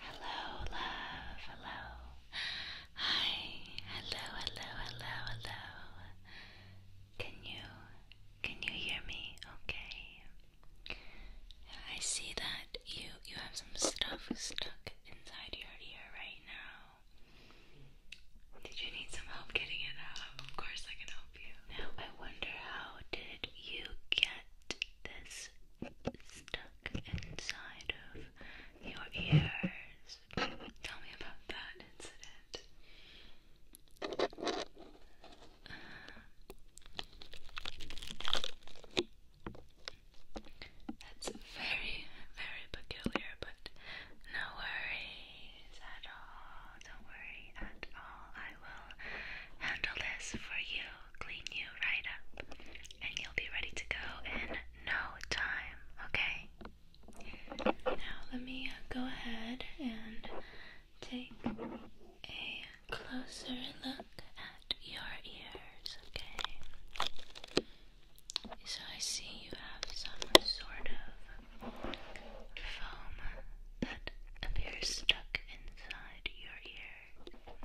Hello, love. Hello. Hi. Hello, hello, hello, hello. Can you can you hear me? Okay. I see that you you have some stuff stuck inside your ear right now. Did you need some help getting it out? Of course I can help you. Now I wonder how did you get this stuff inside of your ears. Tell me about that incident. that's very, very peculiar, but no worries at all. Don't worry at all. I will handle this for you clean you right up, and you'll be ready to go in no time, okay? Now, let me uh, go ahead and take a closer look at your ears, okay? So, I see you have some sort of foam that appears stuck inside your ear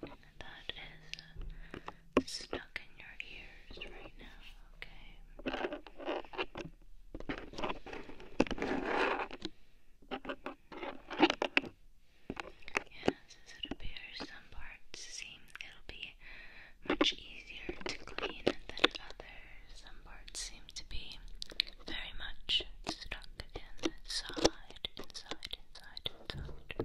that is uh, stuck in your ears right now, okay? Yes, as it appears, some parts seem it'll be much easier to clean than others. Some parts seem to be very much stuck inside, inside, inside, inside.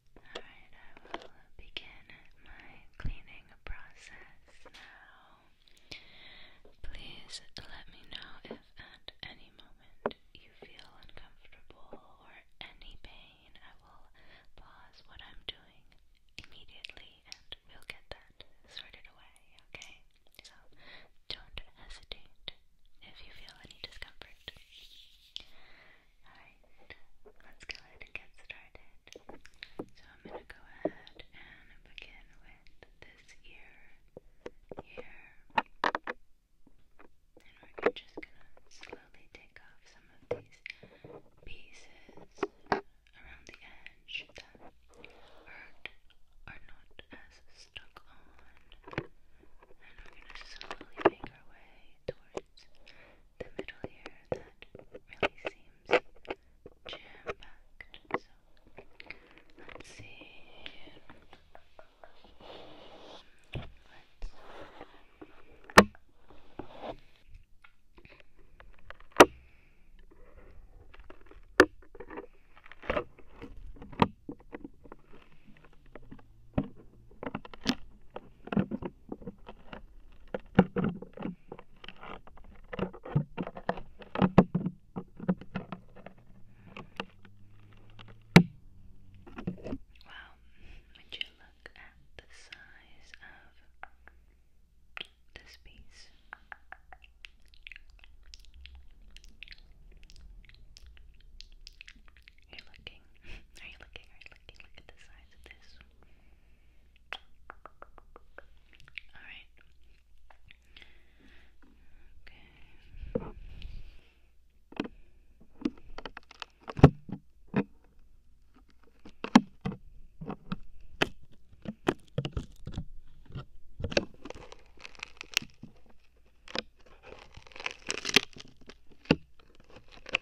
Alright, I will begin my cleaning process now. Please let me know if at any moment you feel uncomfortable or any pain. I will pause what I'm doing immediately and we'll get that sorted away, okay? So don't hesitate if you feel any discomfort. Alright, let's go ahead and get started. So I'm going to go ahead and begin with this ear here. And we're just going to slowly take off some of these pieces around the edge that hurt are not as stuck on. And we're going to slowly make our way towards the middle here that really seems jam packed. So let's see. let well, would you look at the size of this piece? You're looking. Are you looking? Are you looking? Look at the size of this. Alright. Okay. Okay.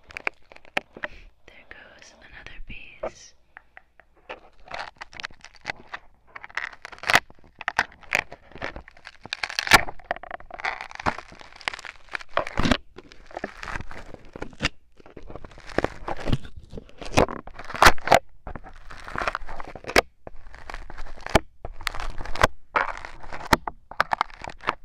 There goes another piece.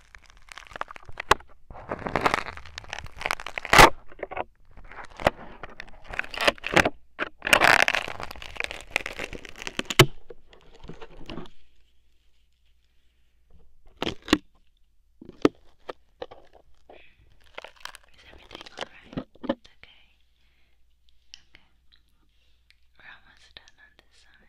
Is everything alright? It's okay. Okay. We're almost done on this side.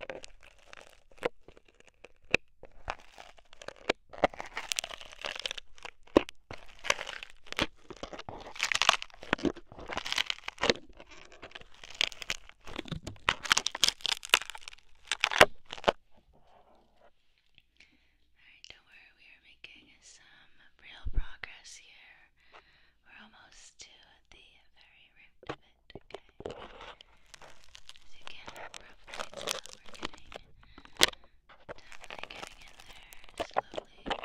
Alright, don't worry, we are making some real progress here. We're almost to the very root of it, okay? As you can probably tell, we're getting definitely getting in there slowly.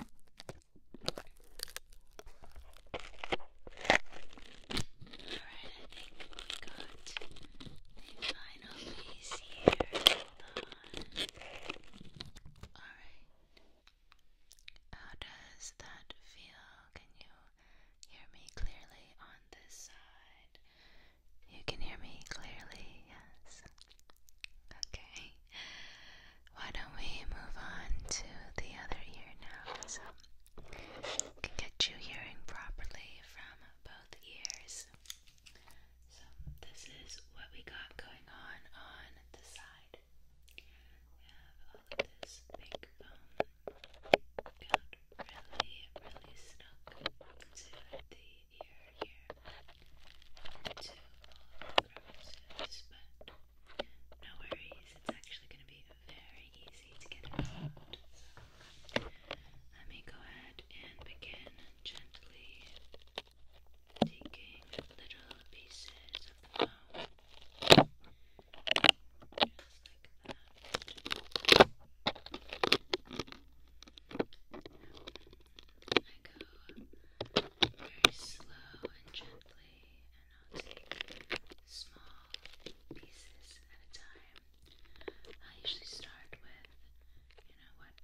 I think we got the final here. Alright. How does that feel? Can you hear me clearly on this side? You can hear me clearly, yes. Okay. Why don't we move on to the other ear now? So can get you hearing properly from both ears. So this is what we got going on on the side. We have all of this big got really, really snug to the ear here and two all across but no worries, it's actually going to be very easy to get around. So let me go ahead and begin gently taking little pieces of the foam. Just like that. I go very slow and gently, and I'll take small pieces at a time. I usually start with, you know, what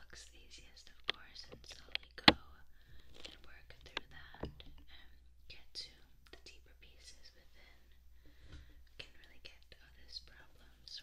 looks easiest, of course, and slowly go and work through that and get to the deeper pieces within. Can really get all these problems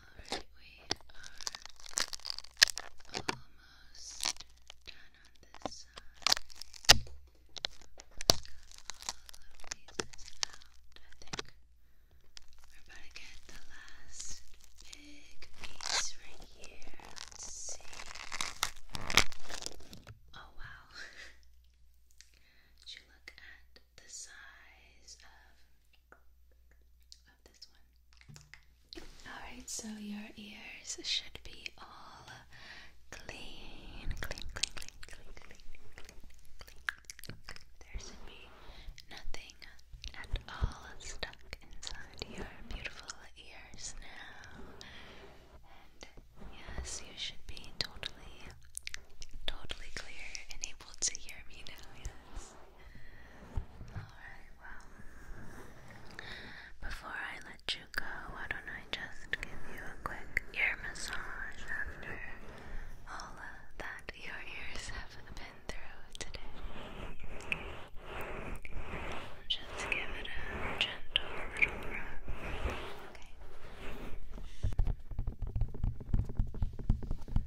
Alright, we are almost done on this side. all of these out, I think. We're about to get the last big piece right here. Let's see. Oh wow. Did you look at the size of Alright, so your ears should be all clean, clean, clean, clean, clean, clean, clean, clean. There should be nothing at all stuck inside your beautiful ears now. And yes, you should be totally, totally clear and able to hear me now, yes before I let you go, why don't I just give you a quick ear massage after all that your ears have been through today? Just give it a gentle rub. Okay.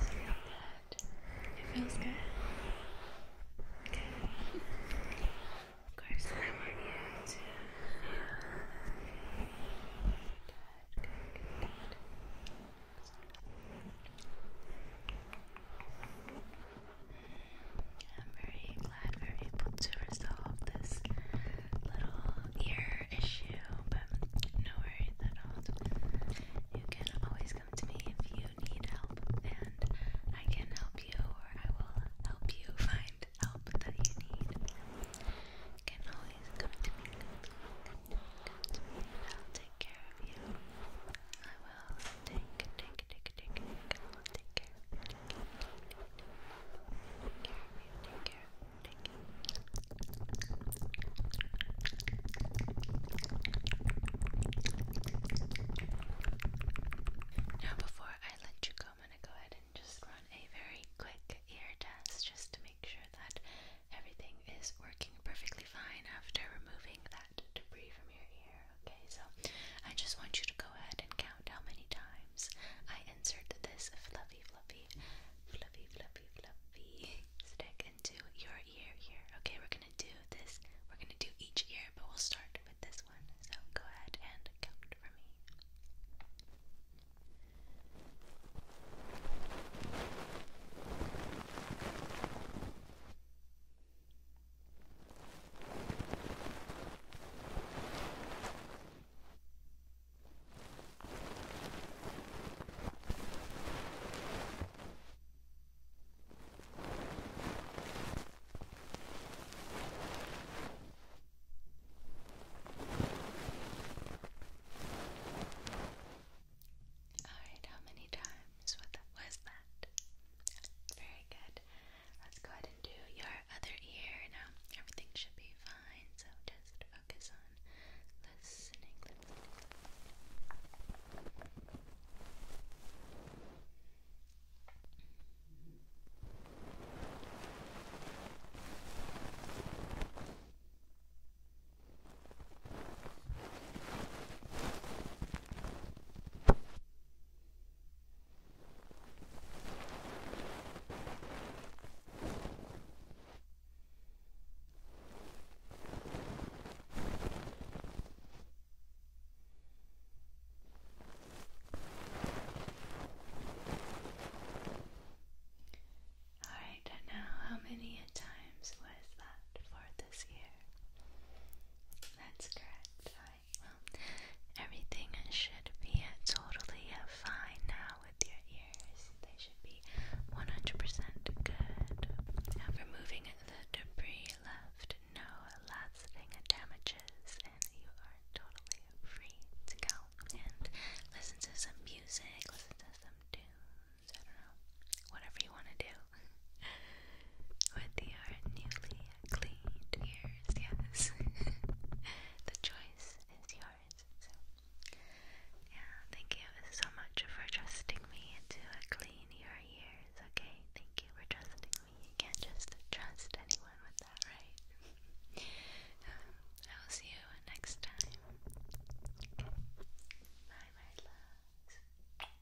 Just feel that. It feels good. Okay. Of course, I want you to feel good, good, good, good. I'm very glad we are able to resolve this little ear issue, but no worries at all. You can always come to me if you need help, and I can help you, or I will help you find help that you need. can always come to me. Come to me, I'll take care of you. I will. Take, you, Now before I let you go, I'm gonna go ahead and just run a very quick ear test just to make sure that everything is working perfectly fine after removing that debris from your ear. Okay, so I just want you to go ahead and count how many times I insert this fluffy, fluffy, fluffy, fluffy, fluffy stick into your ear here. Okay, we're gonna do this. We're gonna do each ear, but we'll start with this one. So go ahead and count for me. All right, how many times? is what that was that. Very good. Let's go ahead and do your other ear now. Everything should be fine, so just focus on listening. Alright, and now how many times was that for this year? That's correct. Alright, well, everything should be totally fine now with your ears. They should be 100% good. I'm removing the debris left, no lasting damages, and you are totally free to go and listen to some music, listen to some tunes, I don't know, whatever you want to do with your newly cleaned ears, yes. the choice is yours. yeah, thank you so much for trusting me to uh, clean your ears, okay? Thank you for trusting me. You can't just trust anyone with that, right? Um, I'll see you next time. Bye, my loves.